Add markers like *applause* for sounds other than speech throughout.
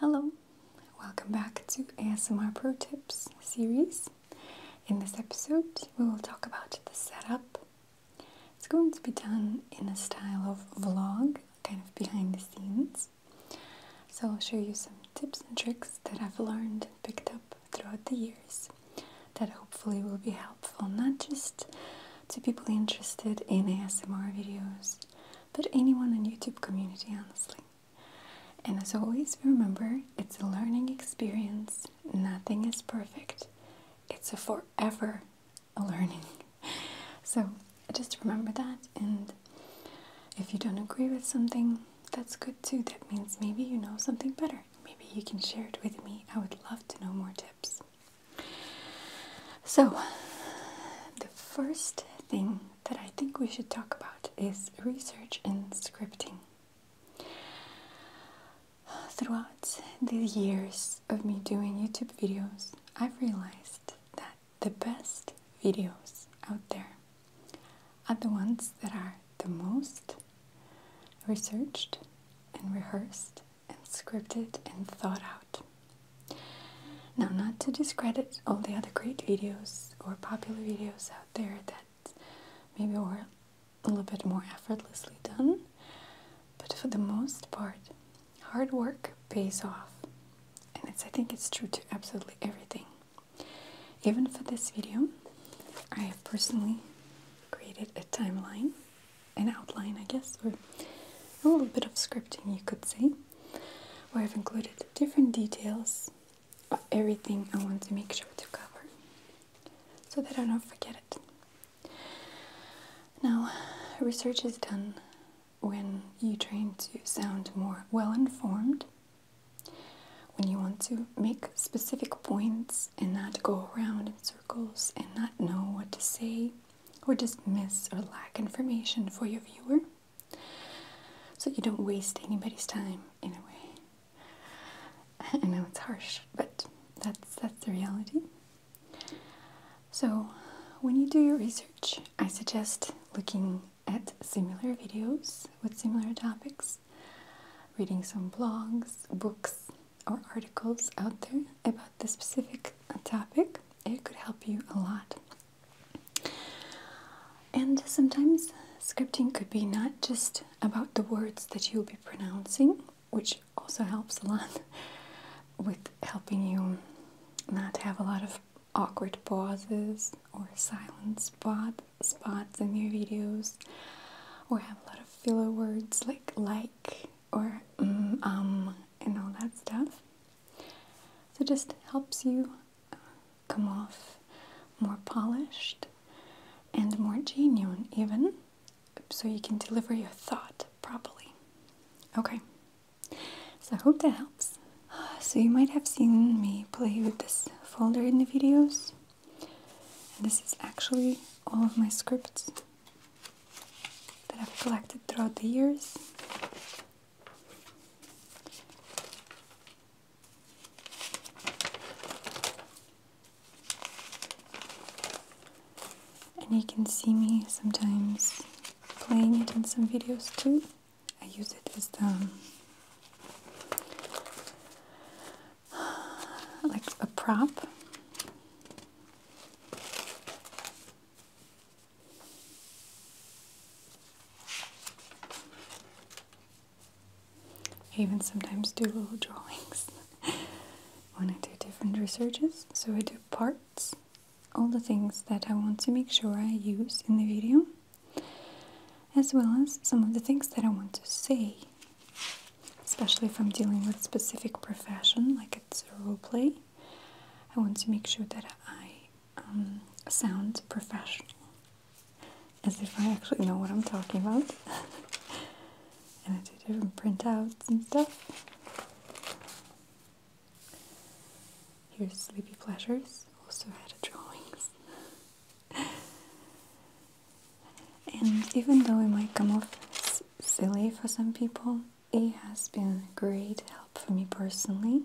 Hello, welcome back to ASMR Pro Tips series. In this episode, we will talk about the setup. It's going to be done in a style of vlog, kind of behind the scenes. So, I'll show you some tips and tricks that I've learned and picked up throughout the years that hopefully will be helpful not just to people interested in ASMR videos but anyone in YouTube community, honestly. And as always, remember it's a learning experience. Nothing is perfect. It's a forever learning. *laughs* So just remember that. And if you don't agree with something, that's good too. That means maybe you know something better. Maybe you can share it with me. I would love to know more tips. So, the first thing that I think we should talk about is research and scripting. Throughout the years of me doing YouTube videos, I've realized that the best videos out there are the ones that are the most researched and rehearsed and scripted and thought out. Now, not to discredit all the other great videos or popular videos out there that maybe were a little bit more effortlessly done, but for the most part, hard work pays off. And it's, I think it's true to absolutely everything. Even for this video, I have personally created a timeline, an outline, I guess, or a little bit of scripting, you could say, where I've included different details of everything I want to make sure to cover so that I don't forget it. Now, research is done when you train to sound more well informed, when you want to make specific points and not go around in circles and not know what to say or just miss or lack information for your viewer so you don't waste anybody's time in a way. I know it's harsh, but that's that's the reality. So when you do your research, I suggest looking at similar videos with similar topics, reading some blogs, books, or articles out there about the specific topic. It could help you a lot. And sometimes scripting could be not just about the words that you'll be pronouncing, which also helps a lot *laughs* with helping you not have a lot of awkward pauses or silence spot, spots in your videos, or have a lot of filler words like like or mm, um and all that stuff. So it just helps you uh, come off more polished and more genuine, even so you can deliver your thought properly. Okay, so I hope that helps. *sighs* So you might have seen me play with this folder in the videos. this is actually all of my scripts that I've collected throughout the years. And you can see me sometimes playing it in some videos too. I use it as the like a prop. I even sometimes do little drawings *laughs* when I do different researches. So I do parts, all the things that I want to make sure I use in the video, as well as some of the things that I want to say, especially if I'm dealing with specific profession, like it's a role play. I want to make sure that I um, sound professional, as if I actually know what I'm talking about. *laughs* and I do different printouts and stuff. Here's Sleepy Pleasures, also had drawings. *laughs* and even though it might come off silly for some people, it has been a great help for me personally.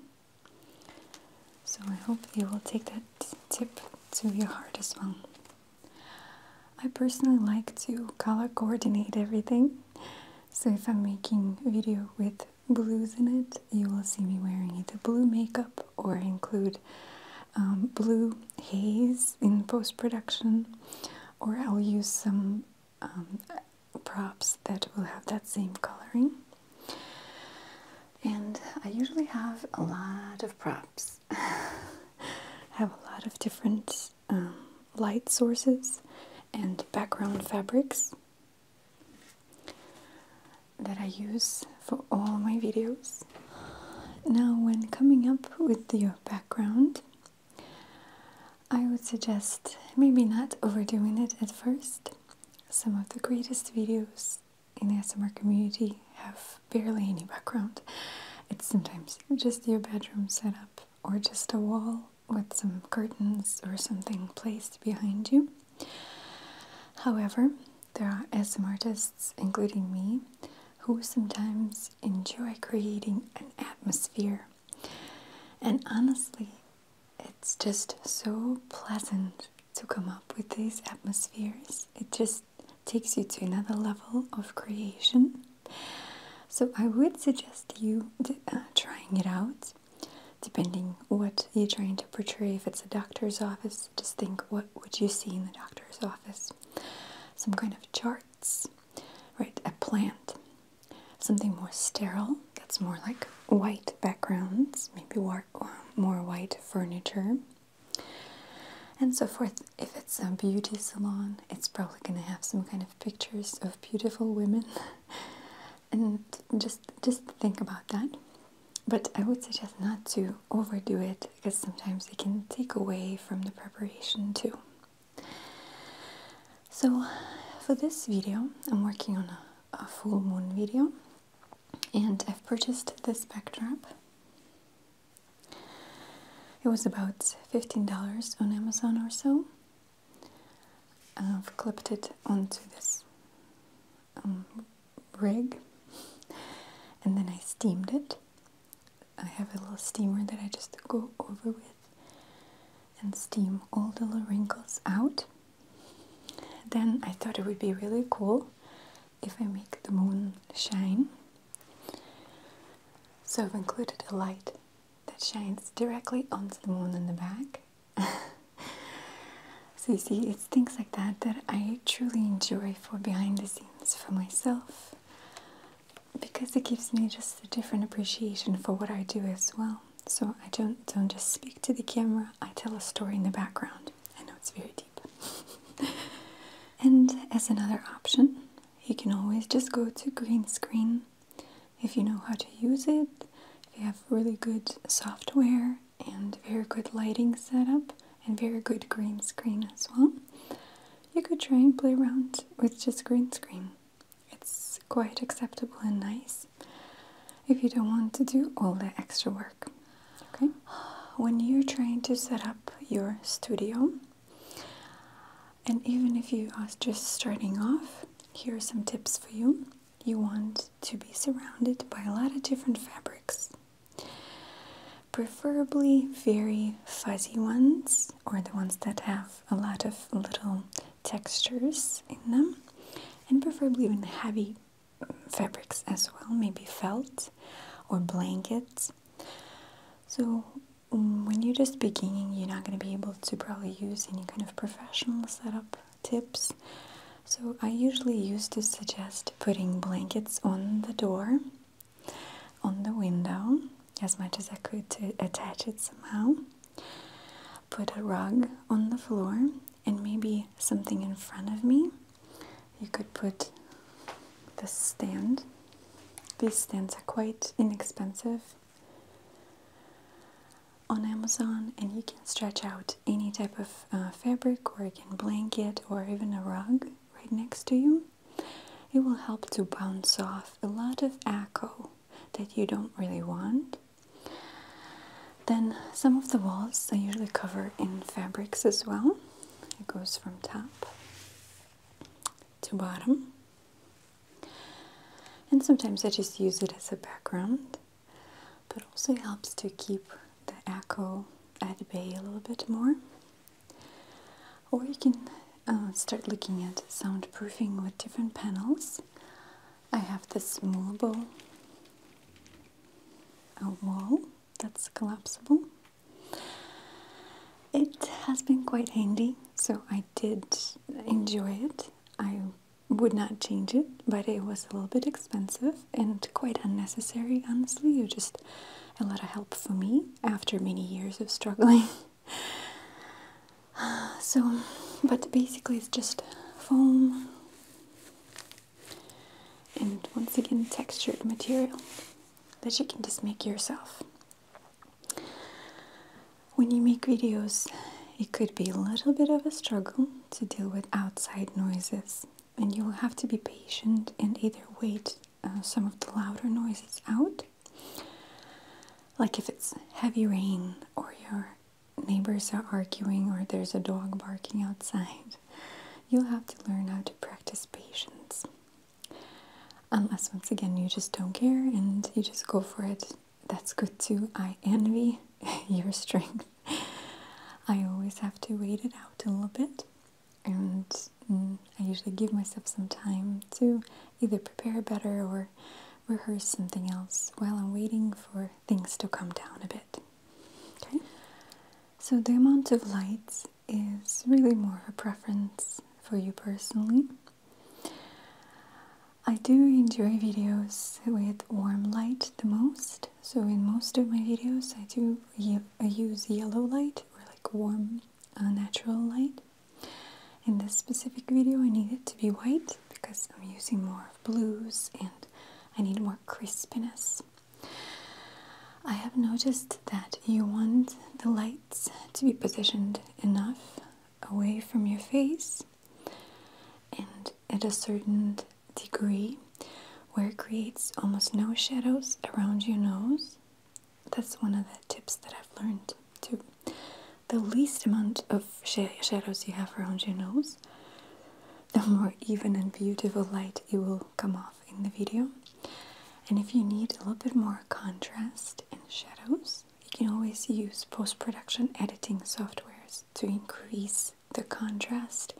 So I hope you will take that tip to your heart as well. I personally like to color coordinate everything. So if I'm making a video with blues in it, you will see me wearing either blue makeup or include um, blue haze in post-production or I'll use some um, props that will have that same coloring. And I usually have a lot of props. I *laughs* have a lot of different um, light sources and background fabrics that I use for all my videos. Now when coming up with your background, I would suggest maybe not overdoing it at first. Some of the greatest videos in the ASMR community have barely any background. It's sometimes just your bedroom setup or just a wall with some curtains or something placed behind you. However, there are ASMR artists, including me, who sometimes enjoy creating an atmosphere. And honestly, it's just so pleasant to come up with these atmospheres. It just takes you to another level of creation. So I would suggest you uh, trying it out, depending what you're trying to portray. If it's a doctor's office, just think what would you see in the doctor's office? Some kind of charts, right? A plant, something more sterile that's more like white backgrounds, maybe more white furniture, and so forth. If it's a beauty salon, it's probably going to have some kind of pictures of beautiful women, *laughs* and just just think about that. But I would suggest not to overdo it because sometimes it can take away from the preparation too. So for this video, I'm working on a, a full moon video and I've purchased this backdrop. It was about $15 on Amazon or so. I've clipped it onto this um, rig and then I steamed it. I have a little steamer that I just go over with and steam all the little wrinkles out. Then I thought it would be really cool if I make the moon shine. So I've included a light that shines directly onto the moon in the back. *laughs* so you see, it's things like that that I truly enjoy for behind the scenes for myself because it gives me just a different appreciation for what I do as well. So I don't don't just speak to the camera. I tell a story in the background. I know it's very deep. *laughs* and as another option, you can always just go to green screen if you know how to use it. If you have really good software and very good lighting setup and very good green screen as well. You could try and play around with just green screen. It's quite acceptable and nice if you don't want to do all the extra work. Okay? When you're trying to set up your studio, and even if you are just starting off, here are some tips for you. You want to be surrounded by a lot of different fabrics, preferably very fuzzy ones or the ones that have a lot of little textures in them, and preferably even heavy fabrics as well, maybe felt or blankets. So when you're just beginning, you're not going to be able to probably use any kind of professional setup tips. So I usually used to suggest putting blankets on the door, on the window, as much as I could to attach it somehow. Put a rug on the floor and maybe something in front of me. You could put this stand. These stands are quite inexpensive on Amazon, and you can stretch out any type of uh, fabric or again blanket or even a rug right next to you. It will help to bounce off a lot of echo that you don't really want. Then some of the walls I usually cover in fabrics as well. It goes from top to bottom. And sometimes I just use it as a background, but also helps to keep the echo at bay a little bit more. Or you can uh, start looking at soundproofing with different panels I have this movable a wall that's collapsible. It has been quite handy, so I did enjoy it. I would not change it, but it was a little bit expensive and quite unnecessary, honestly. You just a lot of help for me after many years of struggling. *laughs* *sighs* So, but basically it's just foam and once again textured material that you can just make yourself. When you make videos, it could be a little bit of a struggle to deal with outside noises and you will have to be patient and either wait uh, some of the louder noises out like if it's heavy rain or you're neighbors are arguing or there's a dog barking outside, you'll have to learn how to practice patience. Unless, once again, you just don't care and you just go for it. That's good too. I envy *laughs* your strength. I always have to wait it out a little bit, and mm, I usually give myself some time to either prepare better or rehearse something else while I'm waiting for things to come down a bit. Okay? So the amount of lights is really more of a preference for you personally. I do enjoy videos with warm light the most, so in most of my videos I do use yellow light or like warm uh, natural light. In this specific video I need it to be white because I'm using more blues and I need more crispiness. I have noticed that you want the lights to be positioned enough away from your face and at a certain degree where it creates almost no shadows around your nose. That's one of the tips that I've learned to the least amount of shadows you have around your nose, the more even and beautiful light it will come off in the video. And if you need a little bit more contrast and shadows, you can always use post production editing softwares to increase the contrast.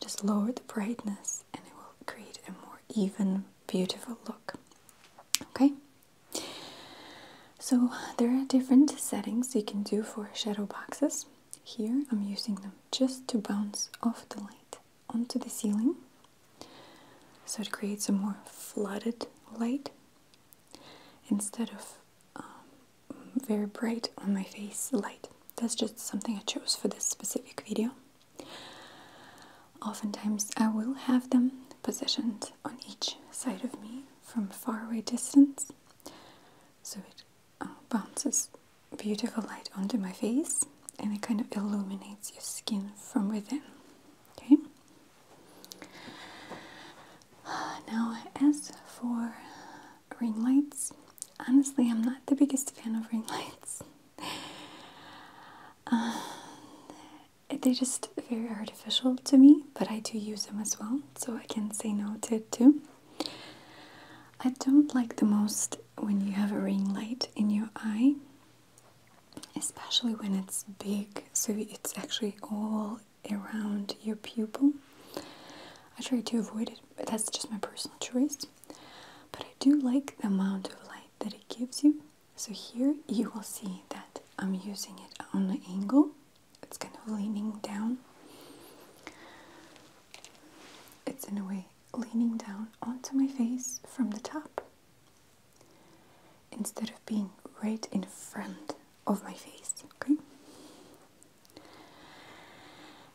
Just lower the brightness and it will create a more even, beautiful look. Okay, so there are different settings you can do for shadow boxes. Here I'm using them just to bounce off the light onto the ceiling. So it creates a more flooded light instead of um, very bright on my face light. That's just something I chose for this specific video. Oftentimes I will have them positioned on each side of me from far away distance. So it uh, bounces beautiful light onto my face and it kind of illuminates your skin from within. Okay? Now, as for ring lights, honestly, I'm not the biggest fan of ring *laughs* lights. Uh, they're just very artificial to me, but I do use them as well so I can say no to it too. I don't like the most when you have a ring light in your eye, especially when it's big, so it's actually all around your pupil. I try to avoid it, but that's just my personal choice. But I do like the amount of light that it gives you. So here you will see that I'm using it on an angle it's kind of leaning down. It's in a way leaning down onto my face from the top instead of being right in front of my face, okay?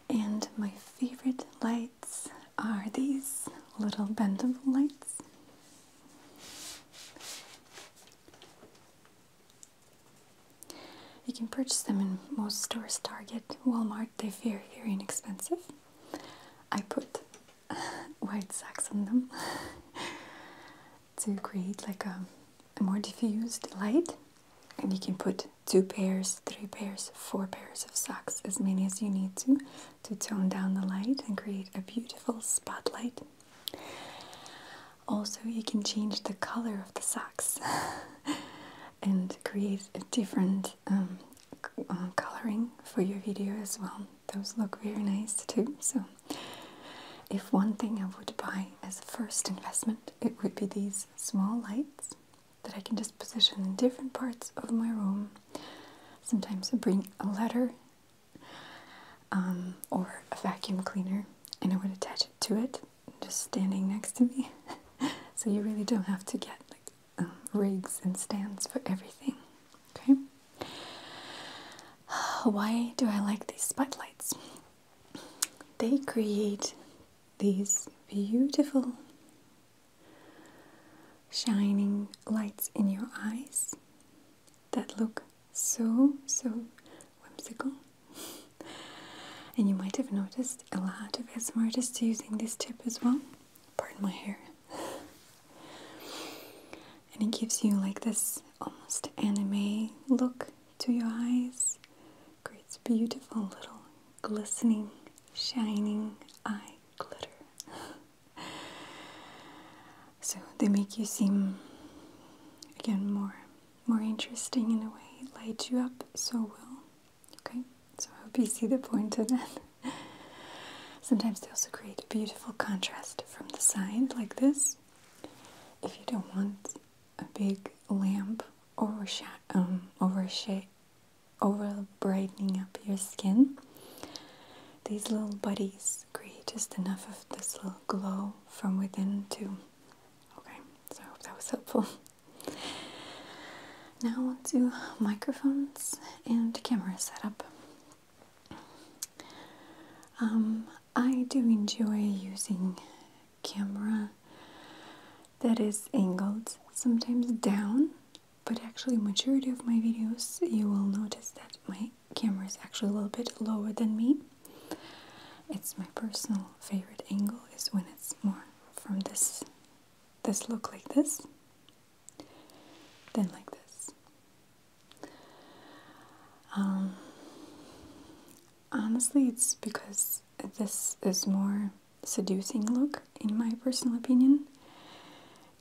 And my favorite lights are these little bendable lights. You can purchase them in most stores, Target, Walmart, they're very, very inexpensive. I put *laughs* white socks on them *laughs* to create like um, a more diffused light. And you can put two pairs, three pairs, four pairs of socks, as many as you need to, to tone down the light and create a beautiful spotlight also, you can change the color of the socks *laughs* and create a different um, uh, coloring for your video as well. Those look very nice too. So, if one thing I would buy as a first investment, it would be these small lights that I can just position in different parts of my room. Sometimes bring a letter um, or a vacuum cleaner, and I would attach it to it, just standing next to me. *laughs* so you really don't have to get like um, rigs and stands for everything. Okay. *sighs* Why do I like these spotlights? They create these beautiful shining lights in your eyes that look so, so whimsical. *laughs* and you might have noticed a lot of ASMR artists using this tip as well. Pardon my hair. *laughs* and it gives you like this almost anime look to your eyes. Creates beautiful little glistening, shining eye glitter. *laughs* So they make you seem again more more interesting in a way, light you up so well. Okay? So I hope you see the point of that. *laughs* Sometimes they also create a beautiful contrast from the side like this. If you don't want a big lamp over um over over brightening up your skin, these little buddies create just enough of this little glow from within too. Okay, so I hope that was helpful. *laughs* Now on to microphones and camera setup. Um, I do enjoy using camera that is angled sometimes down, but actually majority of my videos you will notice that my camera is actually a little bit lower than me. It's my personal favorite angle is when it's more from this this look like this than like this. Um, honestly, it's because this is more seducing look in my personal opinion,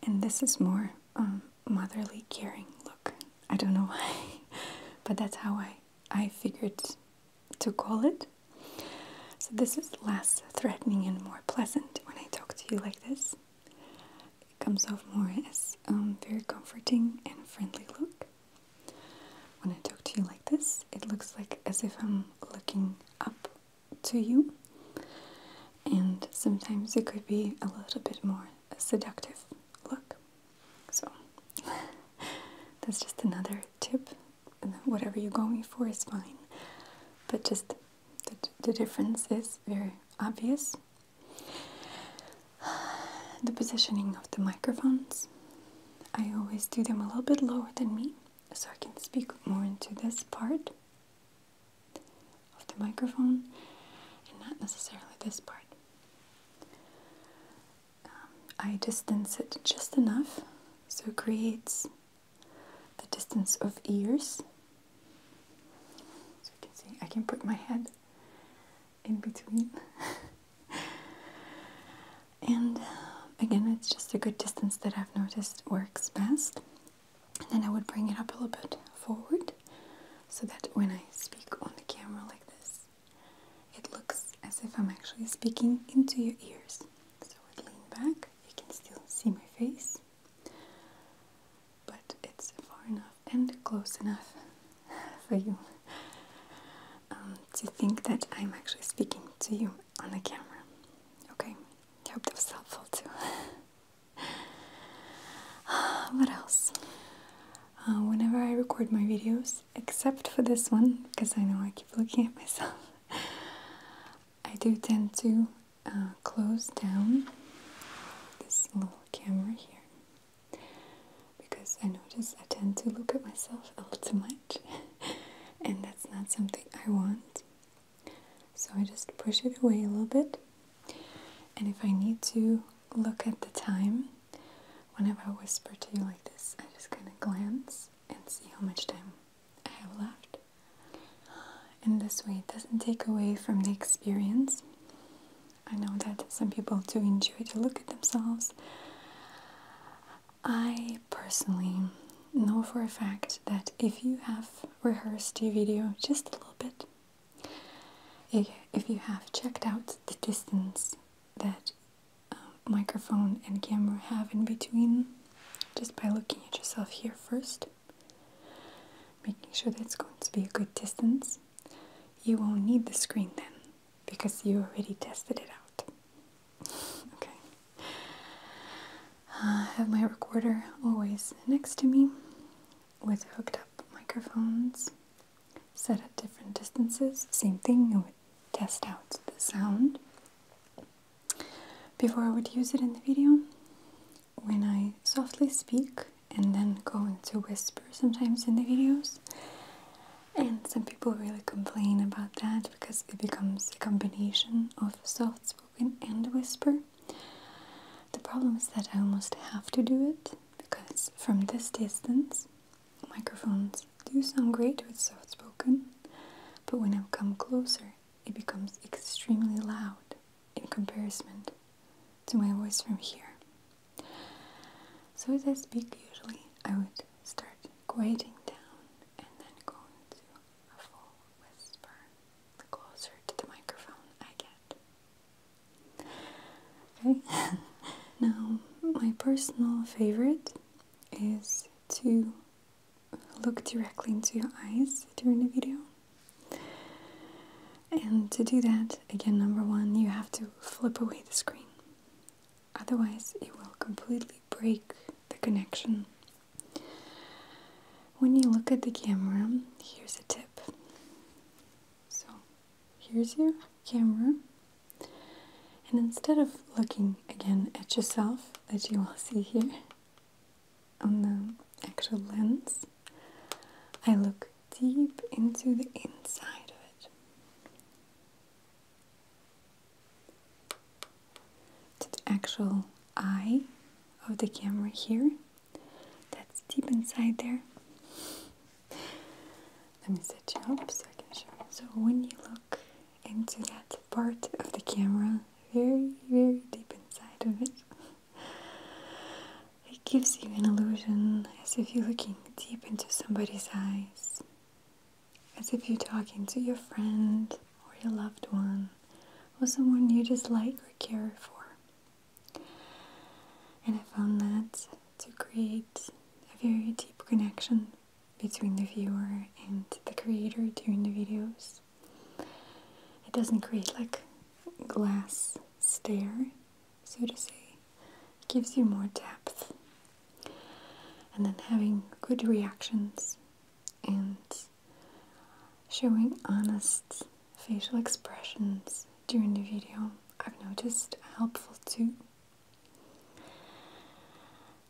and this is more um, motherly, caring look I don't know why, *laughs* but that's how I, I figured to call it. So this is less threatening and more pleasant when I talk to you like this. It comes off more as um, very comforting and friendly look. When I talk to you like this, it looks like as if I'm looking up to you. And sometimes it could be a little bit more seductive look. So *laughs* that's just another tip. whatever you're going for is fine, but just the difference is very obvious. *sighs* The positioning of the microphones. I always do them a little bit lower than me so I can speak more into this part of the microphone and not necessarily this part. Um, I distance it just enough so it creates the distance of ears. So you can see I can put my head in between. *laughs* and uh, again, it's just a good distance that I've noticed works best. And then I would bring it up a little bit forward so that when I speak on the camera like this, it looks as if I'm actually speaking into your ears. So I lean back, you can still see my face, but it's far enough and close enough *laughs* for you um, to think that I'm actually speaking to you on the camera. Okay, I hope that was helpful too. *laughs* Ah, what else? Uh, whenever I record my videos, except for this one, because I know I keep looking at *laughs* myself, I do tend to uh, close down this little camera here because I notice I tend to look at myself a little too much, *laughs* and that's not something I want. So I just push it away a little bit, and if I need to look at the time, whenever I whisper to you like this, I just kind of glance and see how much time I have left. And this way, it doesn't take away from the experience. I know that some people do enjoy to look at themselves. I personally know for a fact that if you have rehearsed your video just a little bit, if you have checked out the distance that um, microphone and camera have in between, just by looking at yourself here first, making sure that it's going to be a good distance, you won't need the screen then because you already tested it out. *laughs* okay. I uh, have my recorder always next to me with hooked up microphones set at different distances. Same thing, I would test out the sound before I would use it in the video. When I softly speak and then go into whisper sometimes in the videos, and some people really complain about that because it becomes a combination of soft spoken and whisper. The problem is that I almost have to do it because from this distance, microphones do sound great with soft spoken, but when I come closer, it becomes extremely loud in comparison to my voice from here. So as I speak, usually I would start quieting down and then go into a full whisper the closer to the microphone I get. Okay, *laughs* now my personal favorite is to look directly into your eyes during the video. And to do that, again, number one, you have to flip away the screen. Otherwise, it will completely break the connection. When you look at the camera, here's a tip so here's your camera, and instead of looking again at yourself, that you will see here on the actual lens, I look deep into the inside of it. To the actual eye of the camera here, that's deep inside there. Let me set you up so I can show you. So when you look into that part of the camera, very, very deep inside of it, it gives you an illusion as if you're looking deep into somebody's eyes, as if you're talking to your friend or your loved one or someone you just like or care for. And I found that to create a very deep connection between the viewer and the creator during the videos. It doesn't create like glass stare, so to say. gives you more depth. And then having good reactions and showing honest facial expressions during the video I've noticed helpful too.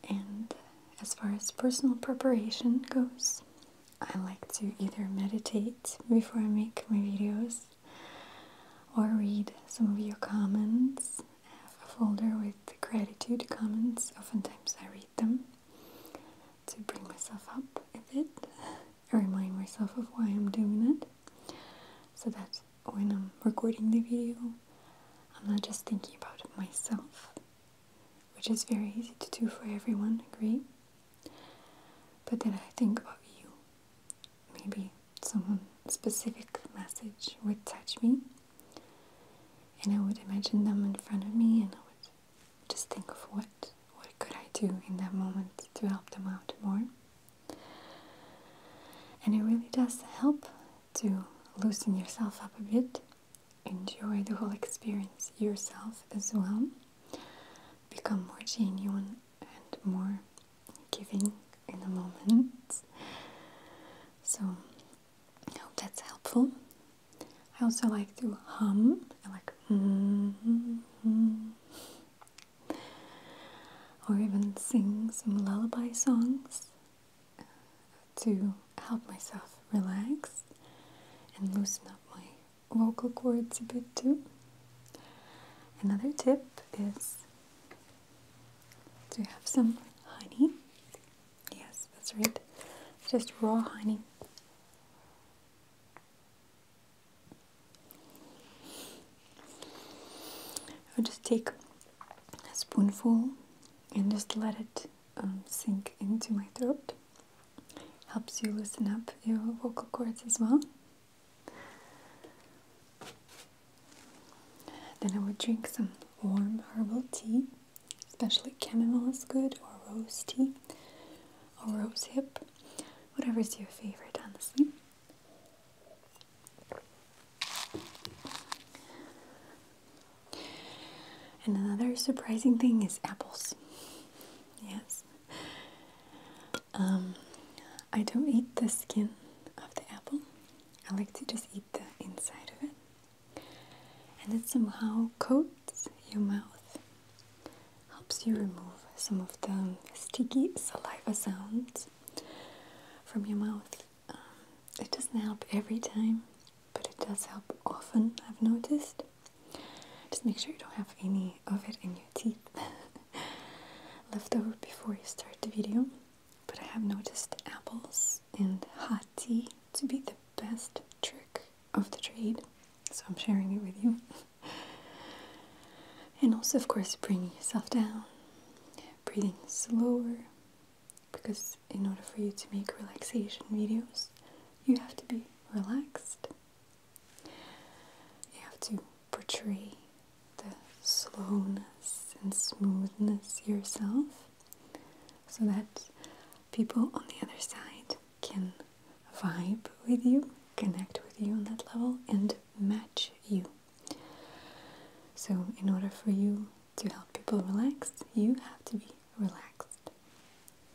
And as far as personal preparation goes, I like to either meditate before I make my videos or read some of your comments. I have a folder with gratitude comments. Oftentimes I read them to bring myself up a bit. *laughs* I remind myself of why I'm doing it. So that when I'm recording the video, I'm not just thinking about myself, which is very easy to do for everyone, agree? But then I think about you. Maybe someone specific message would touch me, and I would imagine them in front of me, and I would just think of what what could I do in that moment to help them out more. And it really does help to loosen yourself up a bit, enjoy the whole experience yourself as well, become more genuine and more giving in the moment. So, I hope that's helpful. I also like to hum, like mm, mm, mm or even sing some lullaby songs to help myself relax and loosen up my vocal cords a bit too. Another tip is to have some honey. Yes, that's right. Just raw honey i would just take a spoonful and just let it um, sink into my throat. Helps you loosen up your vocal cords as well. Then I would drink some warm herbal tea, especially chamomile is good, or rose tea, or rose hip, whatever's your favorite, the honestly. And another surprising thing is apples. Yes. Um, I don't eat the skin of the apple. I like to just eat the inside of it. And it somehow coats your mouth. Helps you remove some of the sticky saliva sounds from your mouth. Um, it doesn't help every time, but it does help often, I've noticed. Just make sure you don't have any of it in your teeth *laughs* left over before you start the video. But I have noticed apples and hot tea to be the best trick of the trade, so I'm sharing it with you and also, of course, bringing yourself down, breathing slower, because in order for you to make relaxation videos, you have to be relaxed. You have to portray the slowness and smoothness yourself so that people on the other side can vibe with you, connect with you on that level, and match you. So, in order for you to help people relax, you have to be relaxed.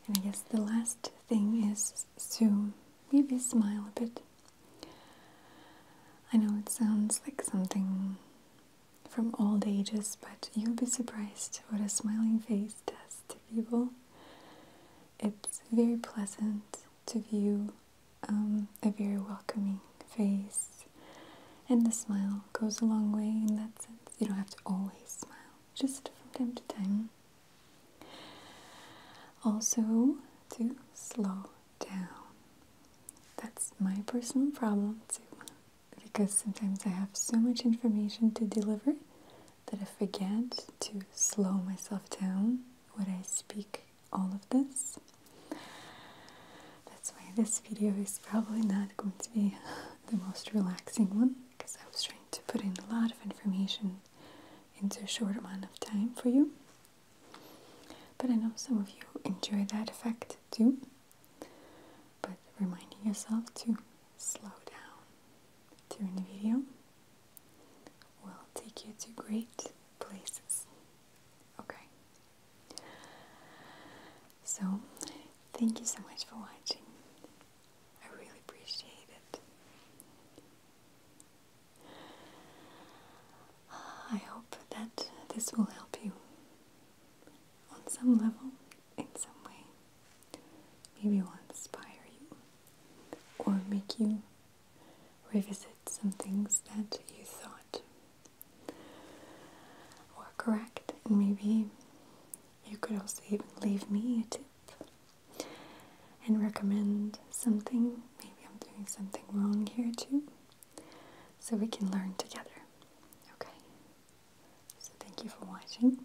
And I guess the last thing is to maybe smile a bit. I know it sounds like something from old ages, but you'll be surprised what a smiling face does to people. It's very pleasant to view um, a very welcoming face. And the smile goes a long way in that sense. You don't have to always smile, just from time to time. Also, to slow down. That's my personal problem too, because sometimes I have so much information to deliver that I forget to slow myself down when I speak all of this. That's why this video is probably not going to be the most relaxing one because I was trying to put in a lot of information into a short amount of time for you. But I know some of you enjoy that effect too. But reminding yourself to slow down during the video will take you to great places. Okay? So, thank you so much for watching. I really appreciate it. I hope that this will help you on some level, in some way. Maybe will inspire you or make you revisit some things that you thought were correct, and maybe you could also even leave me a tip and recommend something. Maybe I'm doing something wrong here too, so we can learn together. Okay? So, thank you for watching.